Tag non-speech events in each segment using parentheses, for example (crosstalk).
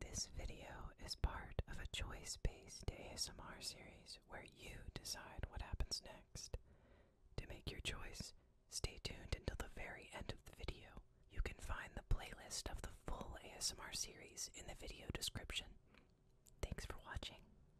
This video is part of a choice based ASMR series where you decide what happens next. To make your choice, stay tuned until the very end of the video. You can find the playlist of the full ASMR series in the video description. Thanks for watching.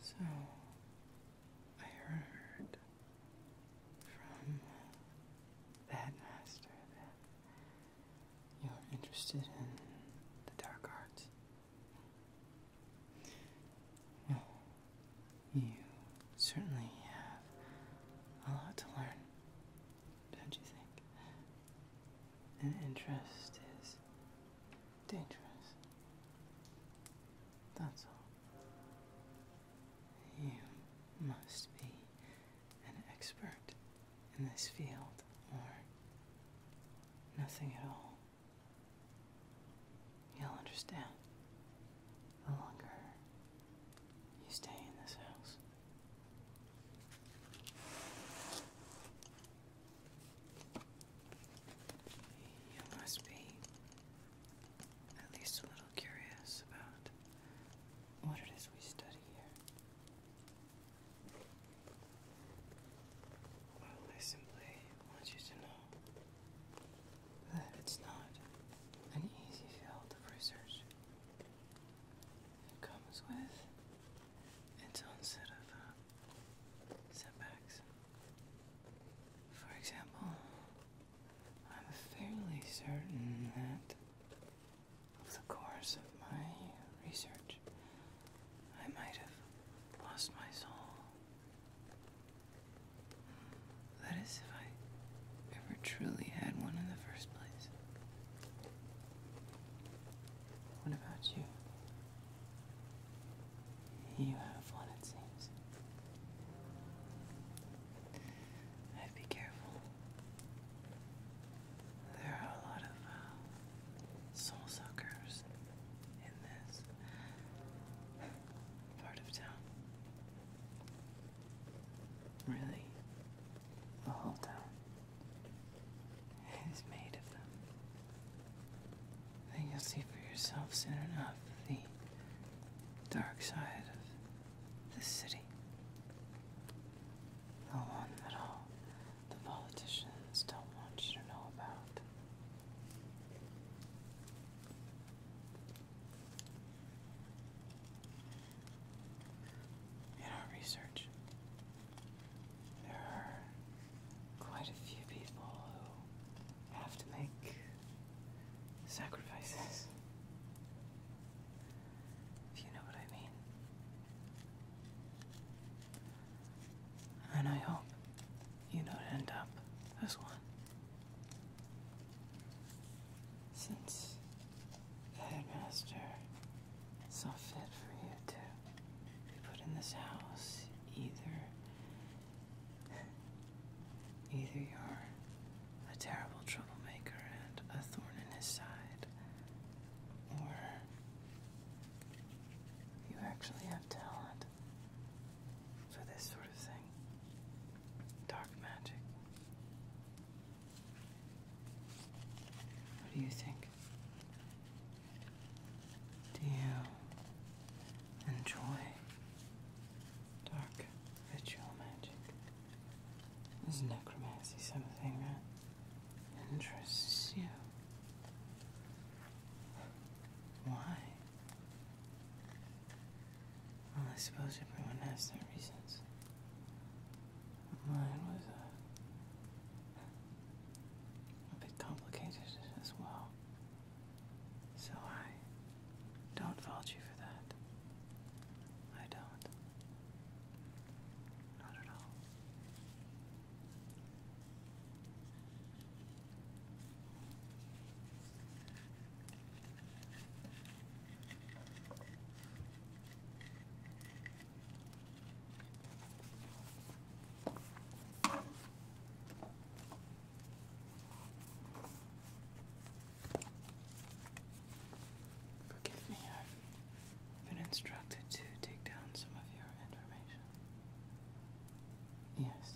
So I heard from that master that you're interested in the dark arts. Well, you certainly have a lot to learn don't you think? An interest is dangerous. That's all. You must be an expert in this field or nothing at all. You'll understand the longer you stay in this house. You must be at least a little curious about what it is we study here. I simply want you to know that it's not an easy field of research. It comes with its own set of uh, setbacks. For example, I'm fairly certain that over the course of my research, I might have lost my soul. That is, if I ever truly had one in the first place. What about you? You have one, it seems. be careful. There are a lot of uh, soul suckers in this part of town. Really, the whole town is made of them. Then you'll see for yourself soon enough the dark side of the city. The one that all the politicians don't want you to know about in our research, there are quite a few people who have to make sacrifices. If you know what I mean. And I hope you don't end up as one. Since the headmaster it's not fit for you to be put in this house either. (laughs) Either you're a terrible troublemaker and a thorn in his side, or you actually have talent for this sort of thing. Dark magic. What do you think? Do you enjoy dark ritual magic? Is necromancy something that interests you? Why? Well, I suppose everyone has their reasons. Mine was uh, a, bit complicated as well. So I don't fault you for that. I don't. Not at all. Forgive me, I've been instructed to take down some of your information. Yes.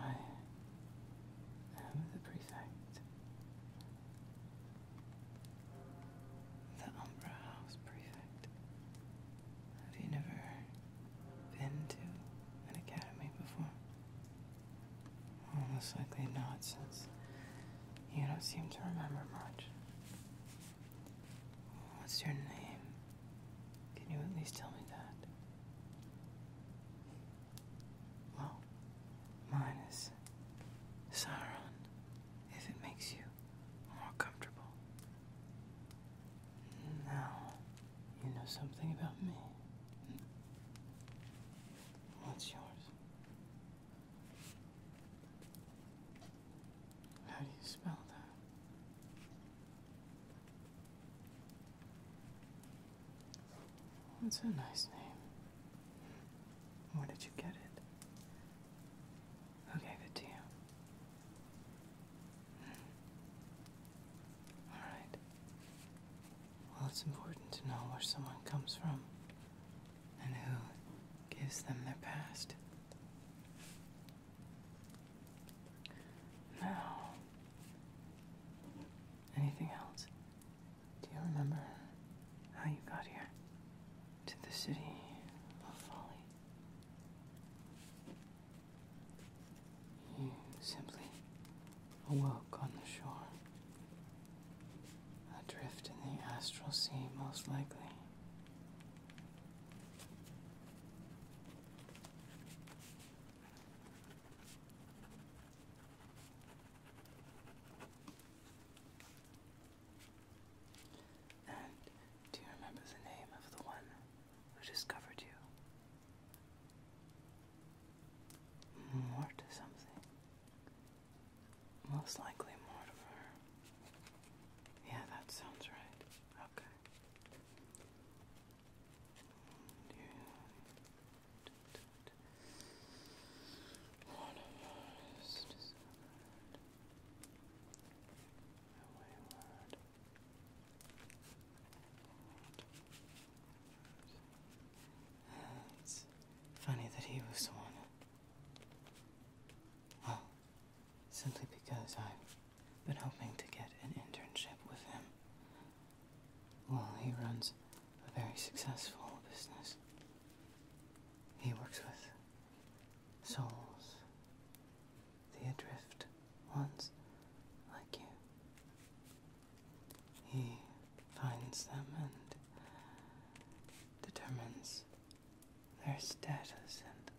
I am the prefect the Umbra House Prefect. Have you never been to an academy before? Well, most likely not, since you don't seem to remember much. What's your name? Can you at least tell me that? Well, mine Sauron, if it makes you more comfortable. Now, you know something about me. What's yours? How do you spell that? What's a nice name? Where did you get it? Who gave it to you? All right. Well, it's important to know where someone comes from and who gives them their past. Now, anything else? Do you remember how you got here? To the city of folly? You simply awoke on the shore. Adrift in the astral sea, most likely. And do you remember the name of the one who discovered you? Mort or something. Most likely Mortimer. Yeah, that sounds right. Okay. Mortimer is discovered it's funny that he was the one. Well, simply because I've been hoping to get an internship with him. Well, he runs a very successful business. He works with souls, the adrift ones like you. He finds them and determines their status and,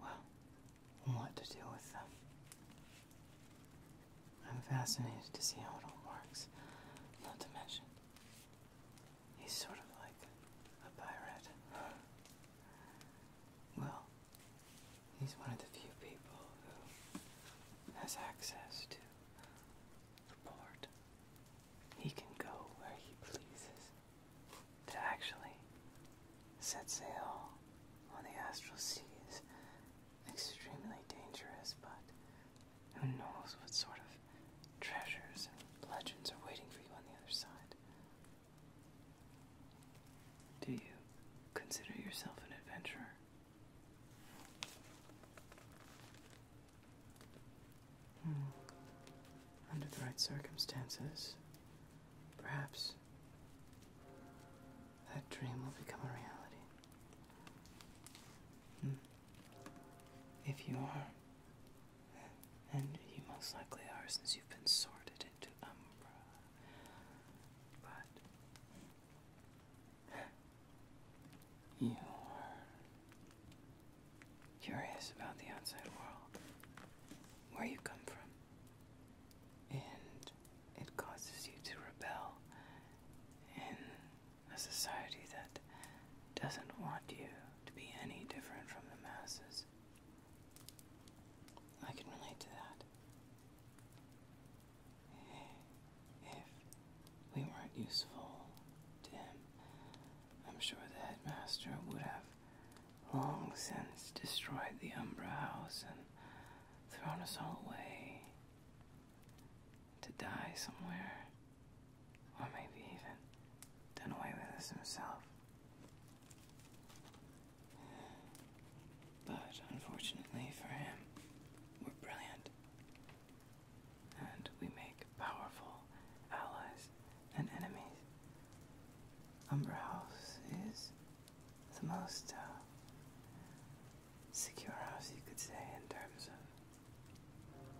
well, what to do with them. I'm fascinated to see how it all works, not to mention He's sort of like a pirate. Well, he's one of the few people who has access to the port. He can go where he pleases. To actually set sail on the astral sea is extremely dangerous, but who knows what sort of treasures and legends are waiting for you on the other side? Do you consider yourself an adventurer? Hmm. Under the right circumstances, perhaps that dream will become a reality. Hmm. If you are, and you most likely are since you've been sorted into Umbra. But you are curious about the outside world, where you come from, and it causes you to rebel in a society that doesn't want you to be any different from the masses. I can relate to that. If we weren't useful to him, I'm sure the headmaster would have long since destroyed the Umbra House and thrown us all away to die somewhere, or maybe even done away with us himself. But unfortunately for him, we're brilliant, and we make powerful allies and enemies. Umbra House is the most uh, secure house you could say in terms of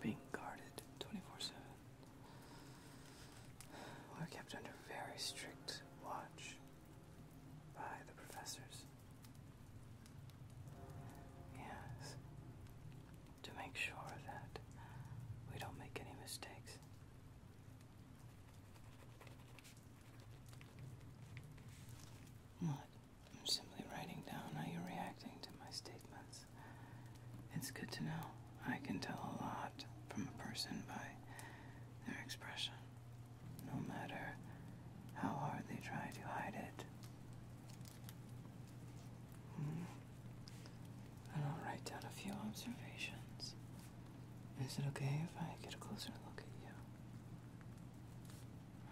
being guarded 24-7. We're kept under very strict watch by the professors. Yes, to make sure that we don't make any mistakes. What? I'm simply writing down how you're reacting to my statements. It's good to know. I can tell a lot from a person by their expression, no matter how hard they try to hide it. Hmm. And I'll write down a few observations. Is it okay if I get a closer look at you?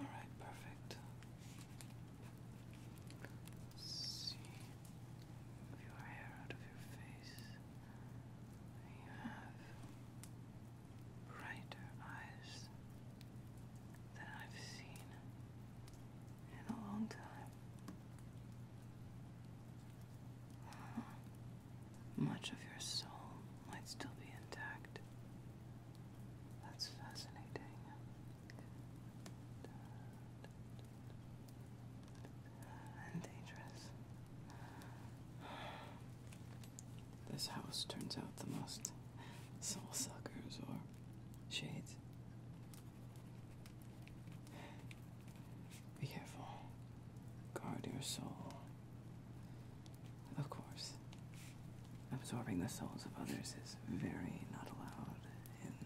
Alright, perfect. See, move your hair out of your face. You have brighter eyes than I've seen in a long time. Much of your soul might still be intact. That's fascinating and dangerous. This house turns out the most soul suckers or shades. Be careful. Guard your soul. Of course, absorbing the souls of others is very not allowed in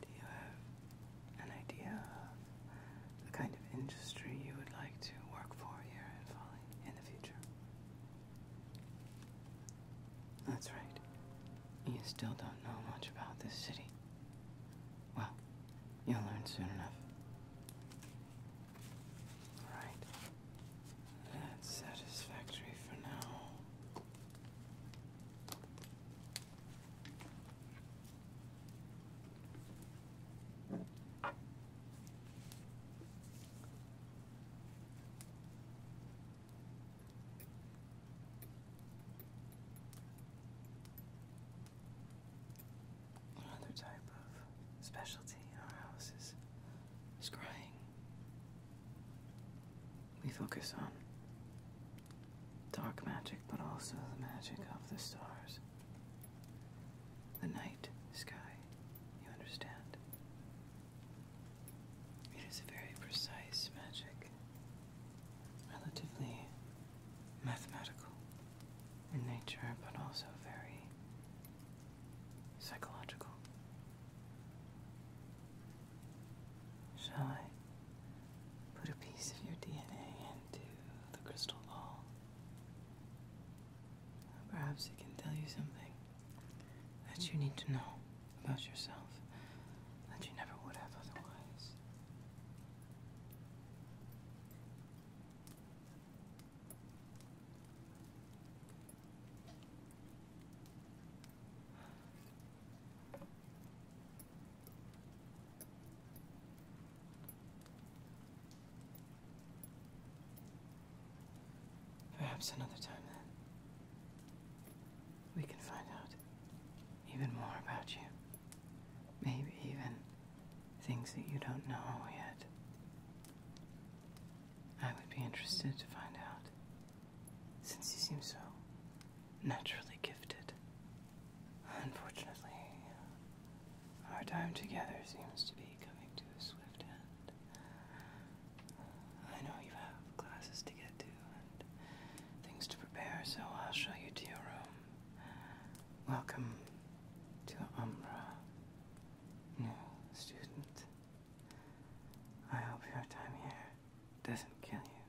Do you have an idea of the kind of industry you would like to work for here at Folly in the future? That's right. You still don't know much about this city. Well, you'll learn soon enough. Alright. That's satisfactory for now another type of specialty our house is scrying. We focus on dark magic, but also the magic of the stars. The night sky, you understand? It is a very precise magic, relatively mathematical in nature, but also very psychological. Shall I put a piece of your DNA into the crystal ball? Perhaps it can tell you something that you need to know about yourself that you never would have otherwise. Perhaps another time then. We can find out even more about you. Maybe even things that you don't know yet. I would be interested to find out, since you seem so naturally gifted. Unfortunately, our time together seems to be coming to a swift end. I know you have classes to get to and things to prepare, so I'll show you to your room. Welcome to Umbra, New student. I hope your time here doesn't kill you.